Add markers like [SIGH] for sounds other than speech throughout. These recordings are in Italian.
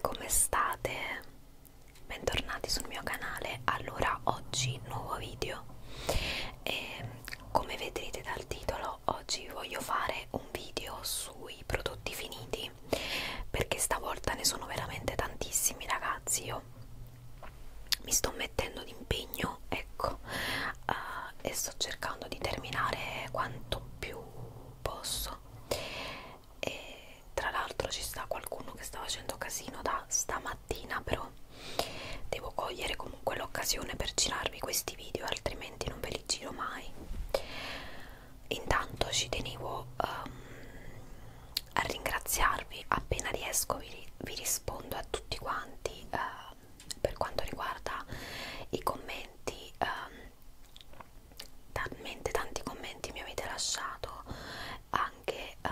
Come state? Bentornati sul mio canale. Allora, oggi nuovo video e come vedrete dal titolo, oggi voglio fare un video sui prodotti finiti perché stavolta ne sono veramente tantissimi, ragazzi. Io mi sto mettendo d'impegno, ecco, uh, e sto cercando di terminare quanto più posso e tra l'altro ci sta qualcuno che sta facendo casino da stamattina però devo cogliere comunque l'occasione per girarvi questi video altrimenti non ve li giro mai intanto ci tenevo um, a ringraziarvi appena riesco vi, vi rispondo a tutti quanti uh, per quanto riguarda i commenti um, talmente tanti commenti mi avete lasciato anche uh,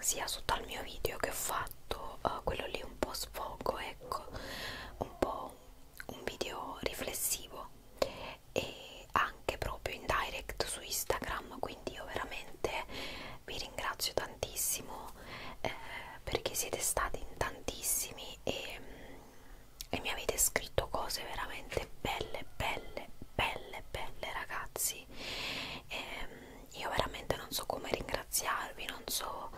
sia sotto al mio video che ho fatto uh, quello lì un po' sfogo ecco un po' un video riflessivo e anche proprio in direct su Instagram quindi io veramente vi ringrazio tantissimo eh, perché siete stati in tantissimi e mh, mm, e mi avete scritto cose veramente belle, belle, belle, belle ragazzi. E ehm, io veramente non so come ringraziarvi, non so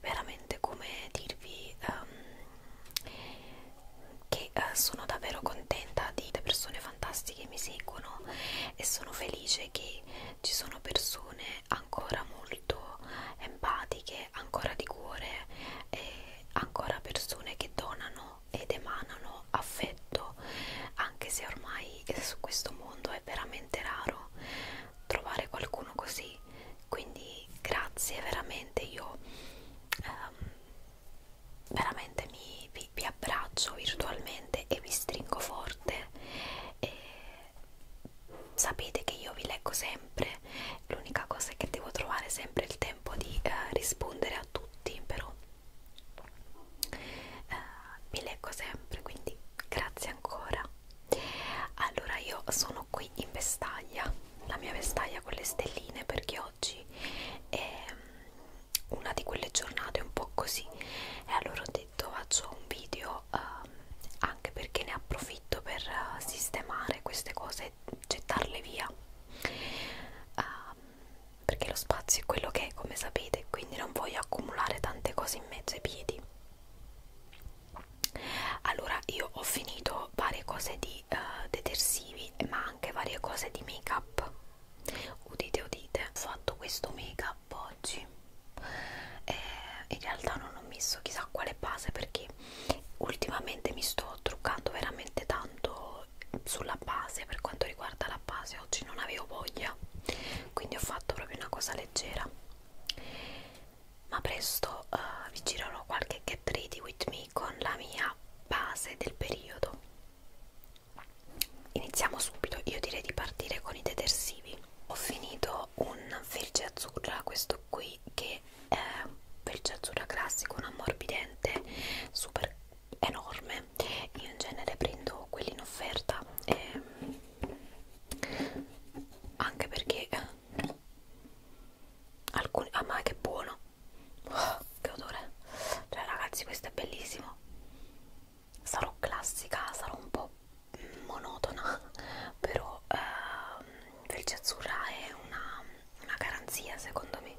veramente come dirvi um, che uh, sono davvero contenta di persone fantastiche che mi seguono e sono felice che ci sono persone ancora molto empatiche, ancora di cuore e ancora persone che donano vibrano ed emanano affetto, anche se ormai su questo mondo è veramente raro trovare qualcuno così. Quindi grazie veramente, io ehm, veramente mi, vi, vi abbraccio virtualmente e vi stringo forte. E sapete che io vi leggo sempre, l'unica cosa è che devo trovare sempre il tempo tempo di eh, rispondere a tutti però eh, mi leggo sempre quindi grazie ancora allora io sono qui in vestaglia la mia vestaglia con le stelline perché oggi è mm, una di quelle giornate un po' così e allora ho detto faccio un video eh, anche perché ne approfitto per eh, sistemare queste cose e gettarle via uh, perché lo spazio è quello che è come sapete quindi non voglio accumulare tante cose in mezzo ai piedi allora io ho finito varie cose di uh, detersivi ma anche varie cose di make up udite udite ho fatto questo make up oggi e in realtà non ho messo chissà quale base perché ultimamente mi sto truccando veramente tanto sulla base per quanto riguarda la base oggi non avevo voglia quindi ho fatto proprio una cosa leggera ma presto uh, vi girerò qualche get ready with me con la mia base del periodo iniziamo subito io direi di partire con i detersivi ho finito un verge azzurra questo qui che eh, pelce azzurra classico un ammorbidente super enorme io in genere prendo quelli in offerta eh, anche perché eh, alcuni ah ma che buono oh, che odore cioè ragazzi questo è bellissimo sarò classica sarò un po' monotona [LAUGHS] però eh, pelce azzurra è una, una garanzia secondo me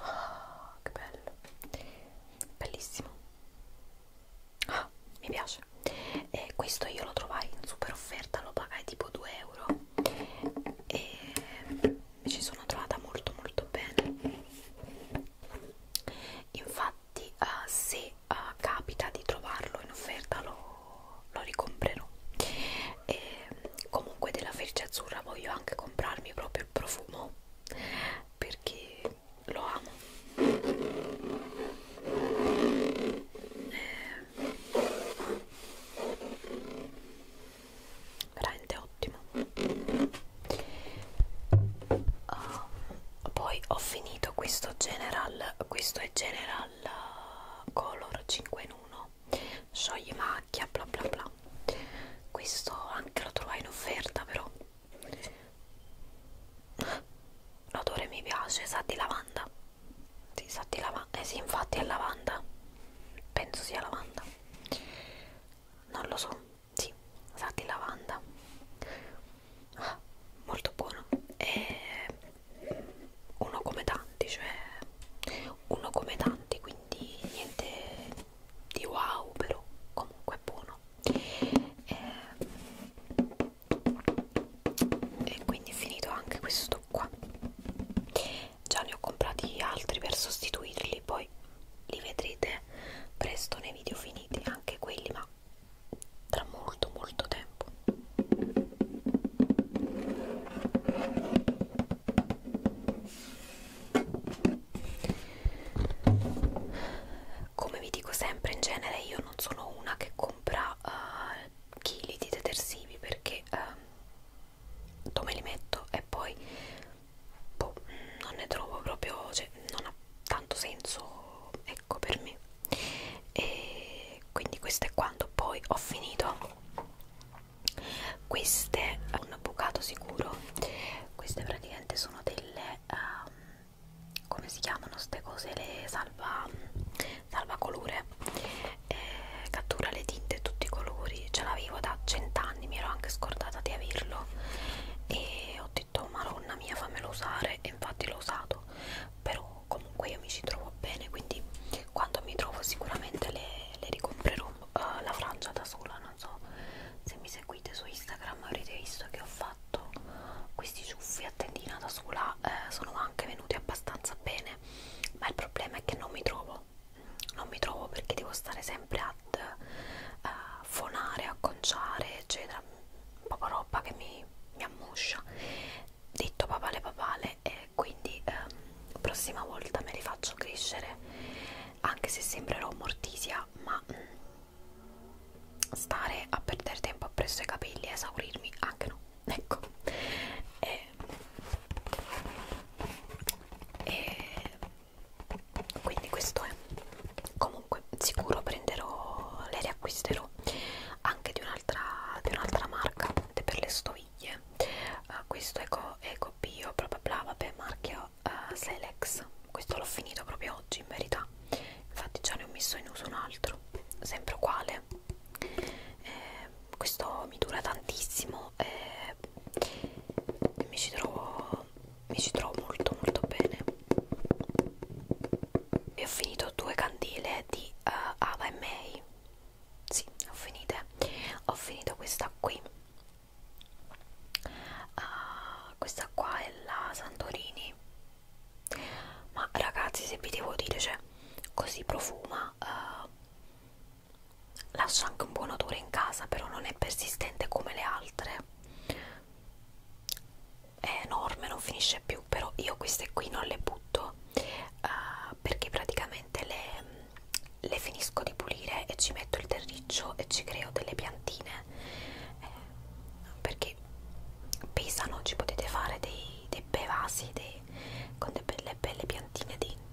Oh, che bello, bellissimo. Ah, mi piace. E questo io lo trovai in super offerta, lo pagai tipo 2 euro e mi ci sono trovata molto molto bene. Infatti, uh, se uh, capita di trovarlo in offerta, lo lo ricomprerò e comunque della felice azzurra voglio anche comprarmi proprio il profumo perché lo amo eh, veramente ottimo uh, poi ho finito questo general questo è general color 5 in 1 no scioglie macchia bla bla bla questo anche lo trovai in offerta però l'odore mi piace sa di lavanda si sa di lavanda eh sì infatti è lavanda penso sia lavanda non lo so sì sa di lavanda ah, molto buono e uno come tanti cioè uno come tanti quindi niente di wow però comunque è buono e, eh, e quindi finito anche questo qua già ne ho comprati altri per sostituirli poi li vedrete presto nei video finiti anche quelli ma tra molto molto tempo come vi dico sempre in genere io non sono una che compra uh, chili di detersivi perché uh, dove li metto e poi boh, non ne trovo proprio cioè, non ha tanto senso ecco per me e quindi questo è quanto poi ho finito queste un avvocato sicuro queste praticamente sono delle um, come si chiamano queste cose le salva salvacolore eh, cattura le tinte e tutti i colori ce l'avevo da cent'anni mi ero anche scordata di averlo e ho detto madonna mia fammelo usare e infatti l'ho usato però comunque io mi ci trovo bene quindi quando mi trovo sicuramente le, le ricomprerò uh, la frangia da sola non so se mi seguite su Instagram avrete visto che ho fatto questi ciuffi a tendina da sola eh, sono anche venuti abbastanza bene ma il problema è che non mi trovo non mi trovo perché devo stare sempre ad uh, fonare, acconciare eccetera poca roba che mi, mi ammuscia detto papale papale e quindi ehm, prossima volta me li faccio crescere anche se sembrerò mortisia ma mh, mm, stare a perdere tempo appresso ai capelli e esaurirmi anche no ecco e, e, quindi questo è comunque sicuro prenderò le riacquisterò anche di un'altra di un'altra marca per le sto meraviglie uh, eh, questo è, co è copio bla bla bla vabbè marchio uh, Selex questo l'ho finito proprio oggi in verità infatti già ne ho messo in uso un altro sempre uguale eh, questo mi dura tantissimo eh, e eh, mi ci trovo mi ci trovo molto molto bene e ho finito due candele di uh, Ava e May sì, ho finito ho finito questa qui uh, questa qua è la Santorini ma ragazzi se vi devo dire cioè così profuma uh, lascia anche un buon odore in casa però non è persistente come le altre è enorme non finisce più però io queste qui non le butto uh, perché praticamente le le finisco di pulire e ci metto il terriccio e ci creo delle piantine eh, perché pesano, ci potete fare dei, dei bei vasi dei, con delle belle, belle piantine dentro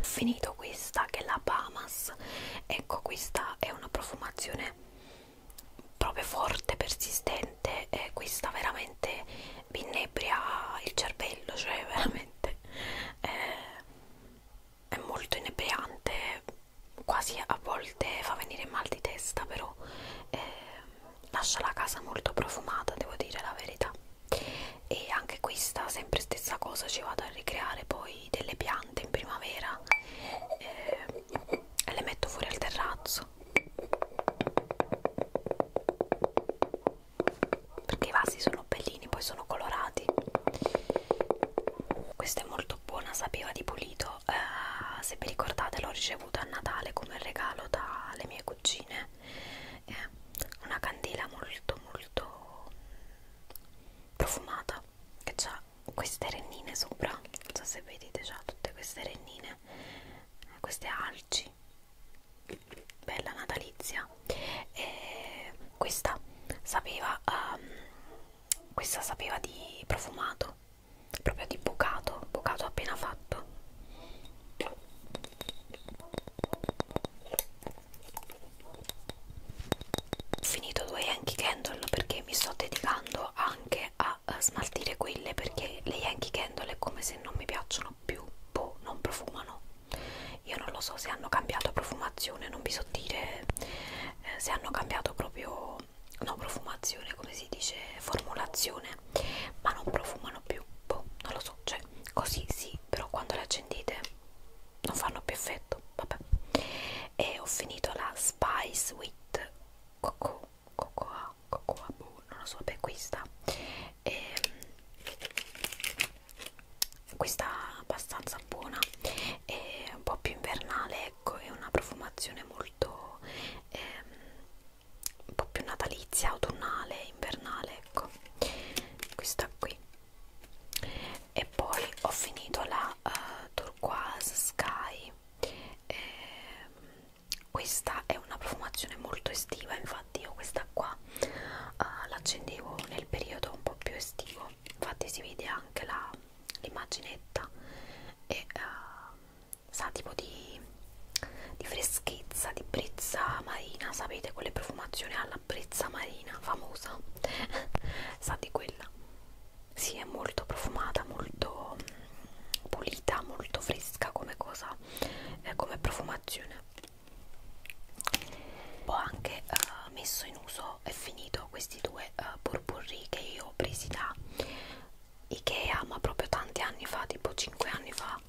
finito questa che è la Bahamas ecco questa è una profumazione proprio forte persistente e questa veramente mi inebria il cervello cioè [LAUGHS] veramente è, eh, è molto inebriante quasi a volte fa venire mal di testa però eh, lascia la casa molto profumata devo dire la verità e anche questa sempre stessa cosa ci vado a ricreare poi delle piante in primavera eh, e le metto fuori al terrazzo perché i vasi sono bellini poi sono colorati questa è molto buona sapeva di pulito eh, se vi ricordate l'ho ricevuta a Natale come regalo dalle mie cugine eh, una candela molto molto profumata che ha queste rennine sopra non so se vedete c'ha tutte queste rennine eh, queste alci bella natalizia e questa sapeva um, questa sapeva di profumato proprio di bucato bucato appena fatto ho finito due Yankee Candle perché mi sto dedicando anche a, a eh, smaltire quelle perché le Yankee Candle è come se non mi piacciono più, boh, non profumano. Io non lo so se hanno cambiato profumazione, non vi so dire eh, se hanno cambiato proprio, no profumazione, come si dice, formulazione, ma non profumano più, boh, non lo so, cioè così sì, però quando le accendete non fanno più effetto vabbè e ho finito la Spice with Cocoa Cocoa Cocoa Boo non lo so vabbè questa e, mm, questa abbastanza buona è un po' più invernale ecco è una profumazione molto ehm, un po' più natalizia autunnale invernale ecco questa qui e poi ho finito la uh, turquoise sky e, questa è una profumazione molto estiva infatti io questa qua uh, l'accendevo nel periodo un po' più estivo infatti si vede anche l'immaginetta e uh, sa tipo di, di freschezza di brezza marina sapete quelle profumazioni alla brezza marina marina famosa [LAUGHS] sa di quella si sì, è molto profumata molto mm, pulita molto fresca come cosa eh, come profumazione ho anche eh, messo in uso e finito questi due eh, burburri che io ho presi da Ikea ma proprio tanti anni fa tipo 5 anni fa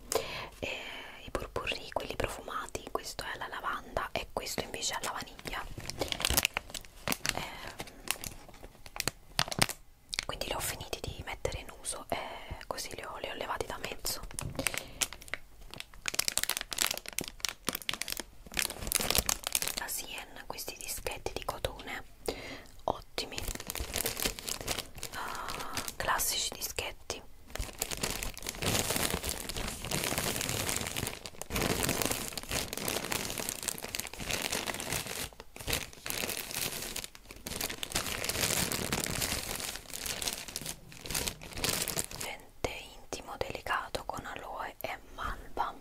eh, i purpurri, quelli profumati, questo è alla lavanda e questo invece è alla vaniglia eh, quindi li ho finiti di mettere in uso e così li ho, li ho levati da mezzo la Sien, questi dischetti di cotone ottimi uh, classici dischetti Tente intimo delicato con aloe e malva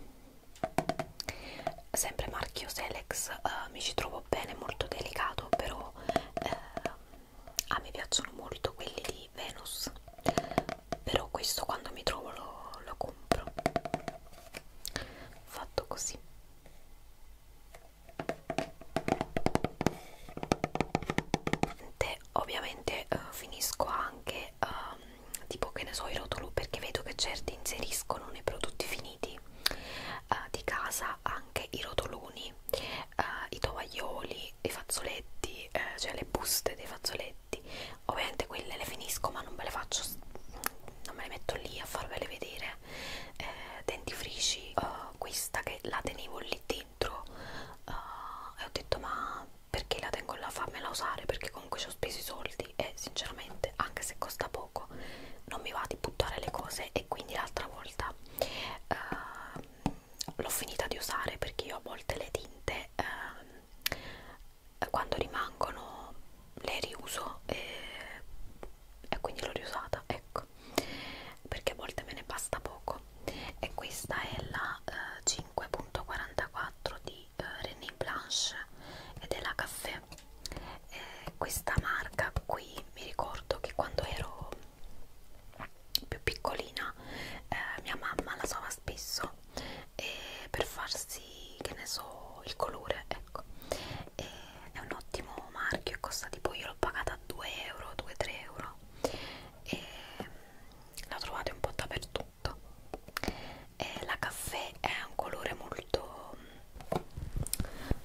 sempre marchio Selex eh, mi ci trovo bene molto delicato però eh, a me piacciono molto quelli di Venus però questo quando mi trovo lo, lo compro fatto così ovviamente eh, finisco anche eh, tipo che ne so i rotolo perché vedo che certi inseriscono nei prodotti finiti eh, di casa anche i rotoloni eh, i tovaglioli i fazzoletti, eh, cioè le buste dei fazzoletti, ovviamente quelle le finisco ma non me le faccio, non me le metto lì a farvele vedere, eh, dentifrici, uh, questa che la tenevo lì dentro uh, e ho detto ma perché la tengo là, fammela usare perché comunque ci ho speso i soldi e sinceramente anche se costa poco non mi va di buttare le cose e quindi l'altra volta uh, l'ho finita di usare perché io a volte le tinte eh, quando rimangono le riuso e, e quindi l'ho riusata ecco perché a volte me ne basta poco e questa è la eh, 5.44 di eh, René Blanche ed è la caffè eh, questa marca qui mi ricordo che quando ero più piccolina eh, mia mamma la usava spesso eh, per farsi che ne so il colore ecco eh, è un ottimo marchio e costa tipo io l'ho pagata a 2 euro 2-3 euro e mm, la trovate un po' dappertutto eh, la caffè è un colore molto mm,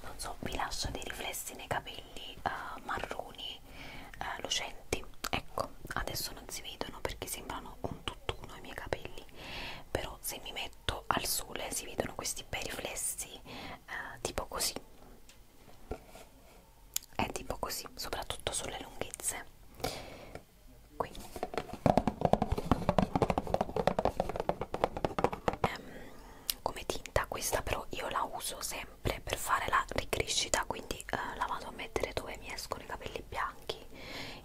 non so vi lascia dei riflessi nei capelli capelli uh, marroni uh, lucenti ecco adesso non si vedono perché sembrano un tutt'uno i miei capelli però se mi metto al sole si vedono questi bei riflessi uh, tipo così è tipo così soprattutto sulle lunghezze qui um, come tinta questa però io la uso se sempre per fare la ricrescita quindi eh, la vado a mettere dove mi escono i capelli bianchi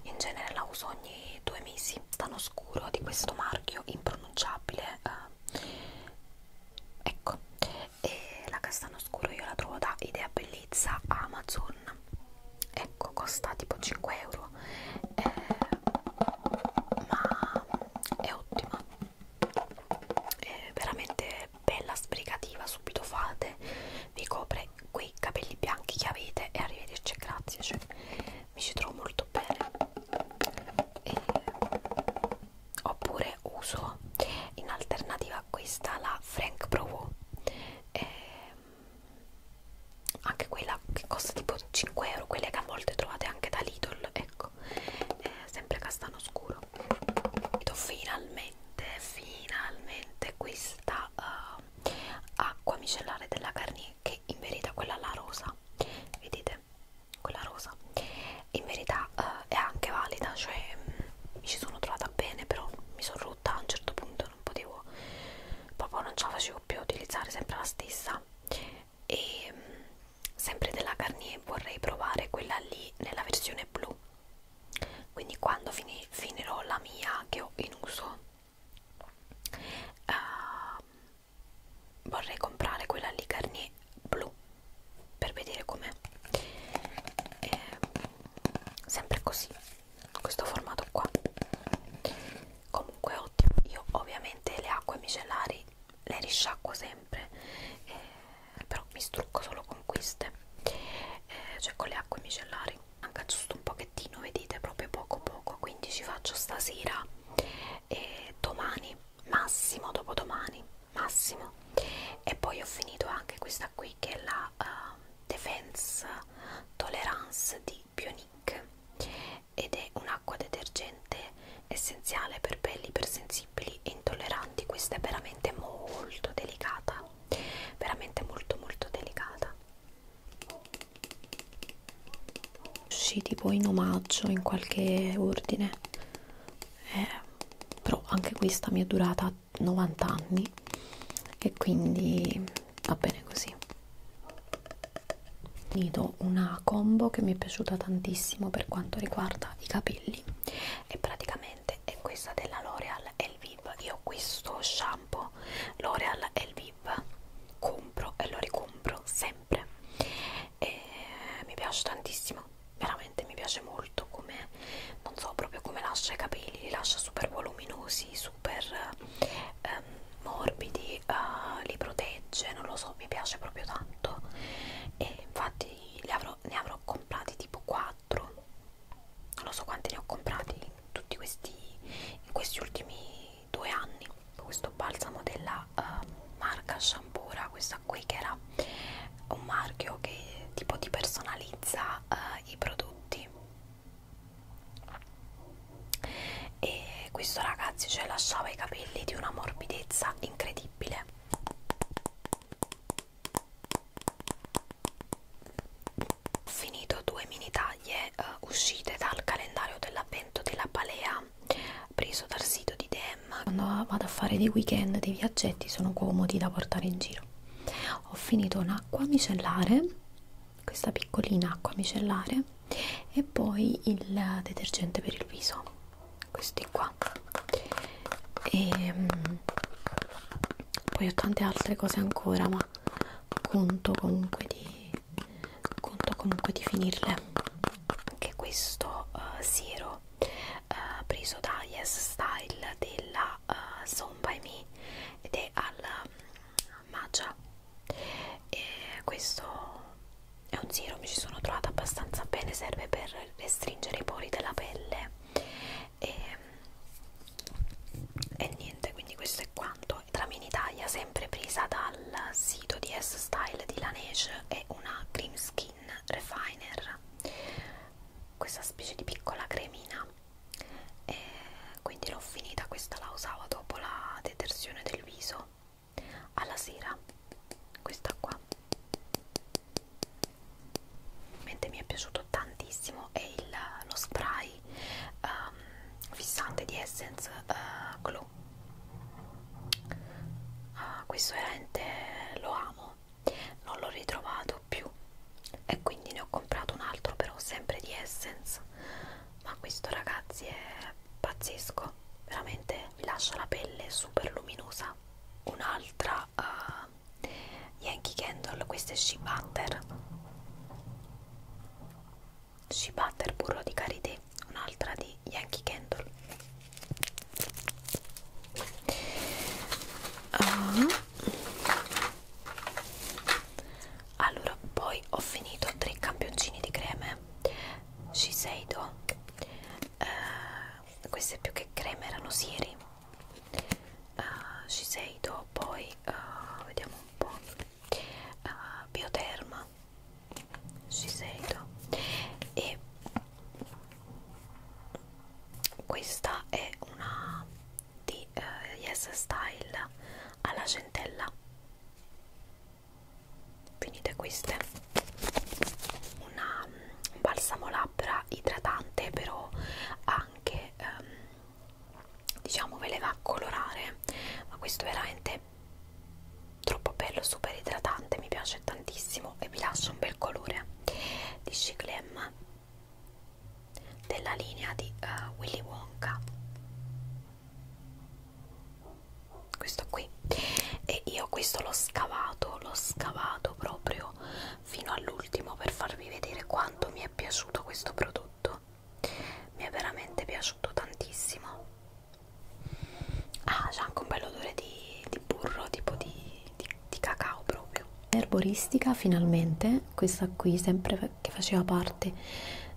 in genere la uso ogni due mesi tan oscuro di questo marchio impronunciabile eh. ecco e la castano scuro io la trovo da idea bellezza amazon ecco costa tipo 5 euro eh, ma è ottima è veramente bella sbrigativa subito fate vi copre quei capelli bianchi che avete e arrivederci grazie cioè, mi ci trovo molto bene e, eh, oppure uso in alternativa a questa la Frank Provo e, eh, anche quella che costa tipo 5 euro quelle che a volte trovate anche da Lidl ecco e, eh, sempre castano scuro finalmente finalmente questa uh, acqua micellare della Garnier che in verità quella la rosa vedete quella rosa in verità uh, è anche valida cioè mh, mm, mi ci sono trovata bene però mi sono rotta a un certo punto non potevo proprio non ce la facevo più utilizzare sempre la stessa e mh, mm, sempre della Garnier vorrei provare quella lì nella versione blu quindi quando fini, finirò la mia che ho in uso uh, vorrei comprare quella lì Garnier blu per vedere com'è sempre così questo formato qua comunque ottimo io ovviamente le acque micellari le risciacquo sempre eh, però mi strucco solo con queste eh, cioè con le acque micellari anche giusto un pochettino vedete proprio poco poco quindi ci faccio stasera e domani massimo dopodomani massimo e poi ho finito anche questa qui che è la uh, defense tolerance di Bionic ed è un'acqua detergente essenziale per pelli ipersensitive sensibili e intolleranti questa è veramente molto delicata veramente molto molto delicata sì tipo in omaggio in qualche ordine eh, però anche questa mi è durata 90 anni e quindi va bene così finito una combo che mi è piaciuta tantissimo per quanto riguarda i capelli e praticamente veramente è questa della L'Oreal Elviv io questo shampoo L'Oreal Elviv compro e lo ricompro sempre e mi piace tantissimo veramente mi piace molto come non so proprio come lascia i capelli li lascia super voluminosi super ehm, morbidi eh, li protegge non lo so mi piace proprio tanto e infatti li avrò io ne avrò comprati tipo 4 non so quanti ne ho comprati in tutti questi in questi ultimi due anni questo balsamo della uh, marca Shampura questa qui che era un marchio che tipo ti personalizza uh, i prodotti e questo ragazzi cioè lasciava i capelli di una morbidezza incredibile ho finito due mini taglie uh, uscite dal calendario dell'avvento della Palea preso dal sito di Dem quando vado a fare dei weekend dei viaggetti sono comodi da portare in giro ho finito un'acqua micellare questa piccolina acqua micellare e poi il detergente per il viso questi qua e ehm, poi ho tante altre cose ancora ma conto comunque di conto comunque di finirle anche questo uh, siero uh, preso da Yes Style della uh, eh, Zone by Me ed è al um, matcha e questo è un siero mi ci sono trovata abbastanza bene serve per restringere i pori della pelle e, e niente quindi questo è quanto trame in Italia sempre presa dal sito di S Style di Laneige è una cream skin refiner questa specie di piccola cremina e quindi l'ho finita questa la usavo dopo la detersione del viso alla sera questa qua Mentre mi è piaciuto tantissimo è il, lo spray um, fissante di Essence uh, Glow. Uh, questo veramente lo amo, non l'ho ritrovato più e quindi ne ho comprato un altro però sempre di Essence. Ma questo ragazzi è pazzesco, veramente vi lascia la pelle super luminosa un'altra uh, Yankee Candle, questa è She Butter She Butter burro di karité, un'altra di Yankee Candle uh. Allora, poi ho finito tre campioncini di creme Shiseido eh, queste più che creme erano siri uh, eh, Shiseido poi uh, vediamo un po' uh, Bioderma Shiseido e questa è una di uh, Yes Style alla centella finite queste una un balsamo labbra idratante però anche ehm, diciamo ve le va a colorare ma questo veramente è troppo bello super idratante mi piace tantissimo e vi lascia un bel colore di Ciclem della linea di uh, Willy Wonka questo qui voi e io questo l'ho scavato l'ho scavato proprio fino all'ultimo per farvi vedere quanto mi è piaciuto questo prodotto mi è veramente piaciuto tantissimo ah c'è anche un bel odore di, di burro tipo di, di, di cacao proprio erboristica finalmente questa qui sempre che faceva parte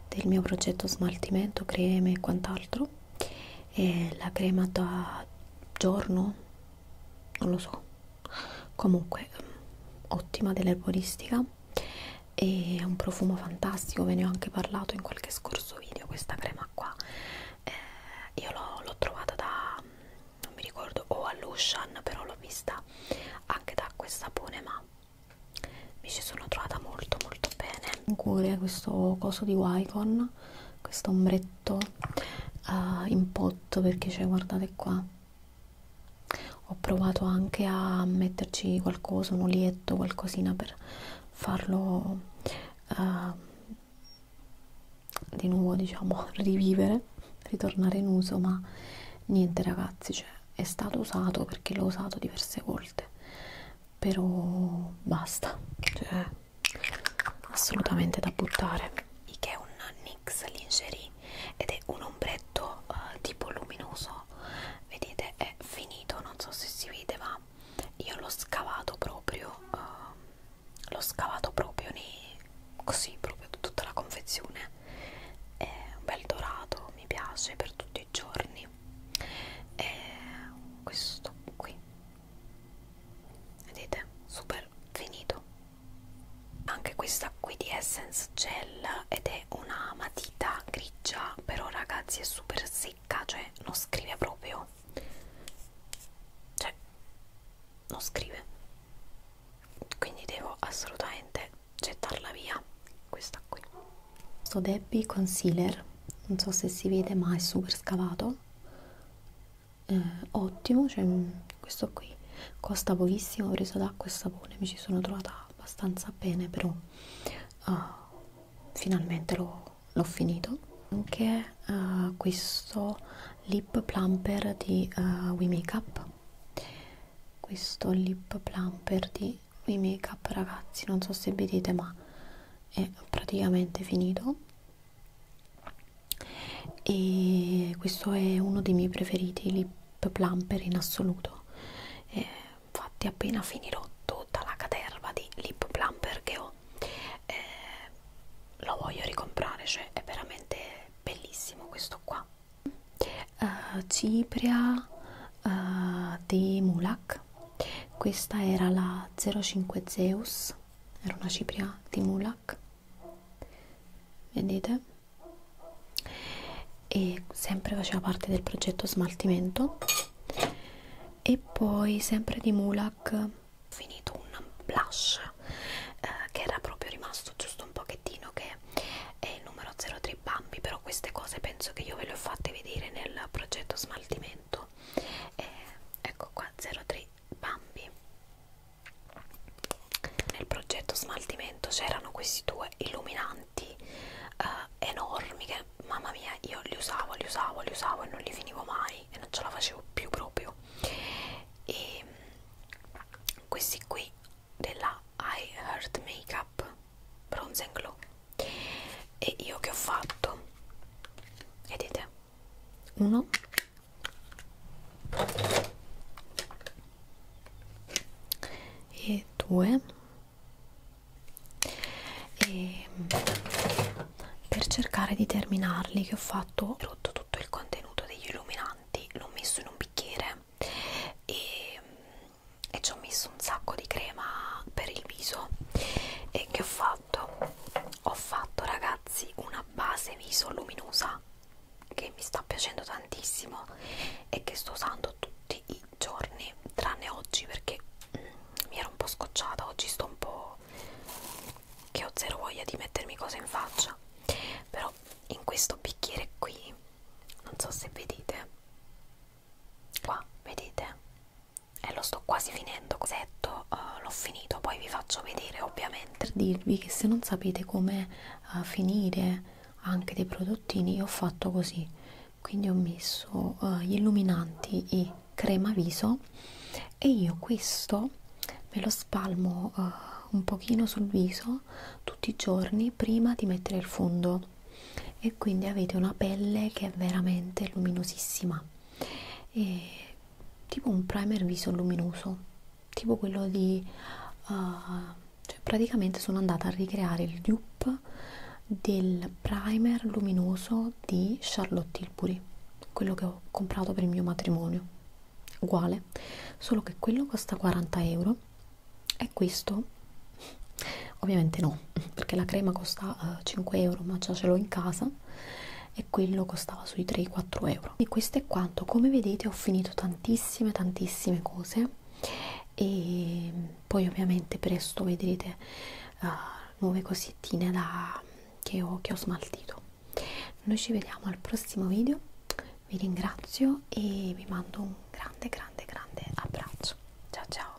del mio progetto smaltimento creme e quant'altro e la crema da giorno non lo so comunque ottima dell'erboristica e ha un profumo fantastico ve ne ho anche parlato in qualche scorso video questa crema qua eh, io l'ho trovata da non mi ricordo o all'Ocean però l'ho vista anche da questa sapone ma mi ci sono trovata molto molto bene in cuore questo coso di Wycon questo ombretto metto uh, eh, in pot perché c'è cioè, guardate qua ho provato anche a metterci qualcosa un olietto qualcosina per farlo uh, di nuovo diciamo [LAUGHS] rivivere ritornare in uso ma niente ragazzi cioè, è stato usato perché l'ho usato diverse volte però basta cioè assolutamente da buttare che è un NYX Lingerie ed è un ombretto uh, tipo luminoso vedete è finito non so se si vede ma io l'ho scavato proprio uh, l'ho scavato proprio nei, così proprio tutta la confezione è un bel dorato mi piace per tutti i giorni e questo qui vedete super finito anche questa qui di essence gel ed è una matita grigia però ragazzi è super secca cioè non scrive proprio cioè non scrive quindi devo assolutamente gettarla via questa qui questo Debbie Concealer non so se si vede ma è super scavato eh, ottimo, cioè mm, questo qui costa pochissimo, ho preso d'acqua e sapone, mi ci sono trovata abbastanza bene, però uh, finalmente l'ho finito, che è uh, questo lip plumper di uh, We Makeup. Questo lip plumper di We Makeup, ragazzi, non so se vedete, ma è praticamente finito e questo è uno dei miei preferiti lip plumper in assoluto e eh, infatti appena finirò tutta la caterva di lip plumper che ho eh, lo voglio ricomprare cioè è veramente bellissimo questo qua uh, cipria uh, di mulak questa era la 05 zeus era una cipria di mulak vedete e sempre faceva parte del progetto smaltimento e poi sempre di mulak ho finito un blush eh, che era proprio rimasto giusto un pochettino che è il numero 03 bambi però queste cose penso che io ve le ho fatte vedere nel progetto smaltimento eh, ecco qua 03 di Bambi. Nel progetto smaltimento c'erano questi due illuminanti eh, enormi che, mamma mia, io li usavo, li usavo, li usavo e non li finivo mai e non ce la facevo più proprio. E mm, questi qui della I Heart Makeup Bronze and Glow. E io che ho fatto? Vedete? uno e due e per cercare di terminarli che ho fatto ho rotto tutto il contenuto degli illuminanti l'ho messo in un bicchiere e, e ci ho messo un sacco di crema per il viso e che ho fatto fatto? Ho fatto ragazzi una base viso luminosa che mi sta piacendo tantissimo e che sto usando tutti i giorni tranne oggi perché mm, mi ero un po' scocciata, oggi sto un po' che ho zero voglia di mettermi cose in faccia però in questo bicchiere qui non so se vedete qua vedete e lo sto quasi finendo cosetto uh, l'ho finito poi vi faccio vedere ovviamente per dirvi che se non sapete come uh, finire anche dei prodottini io ho fatto così quindi ho messo uh, gli illuminanti e crema viso e io questo me lo spalmo uh, un pochino sul viso tutti i giorni prima di mettere il fondo e quindi avete una pelle che è veramente luminosissima e tipo un primer viso luminoso, tipo quello di... Uh, cioè praticamente sono andata a ricreare il dupe del primer luminoso di Charlotte Tilbury, quello che ho comprato per il mio matrimonio. Uguale, solo che quello costa 40 euro e questo ovviamente no [LAUGHS] perché la crema costa uh, 5 euro ma già ce l'ho in casa e quello costava sui 3-4 euro e questo è quanto come vedete ho finito tantissime tantissime cose e poi ovviamente presto vedrete uh, nuove cosettine da, che, ho, che ho smaltito noi ci vediamo al prossimo video vi ringrazio e vi mando un grande grande grande abbraccio ciao ciao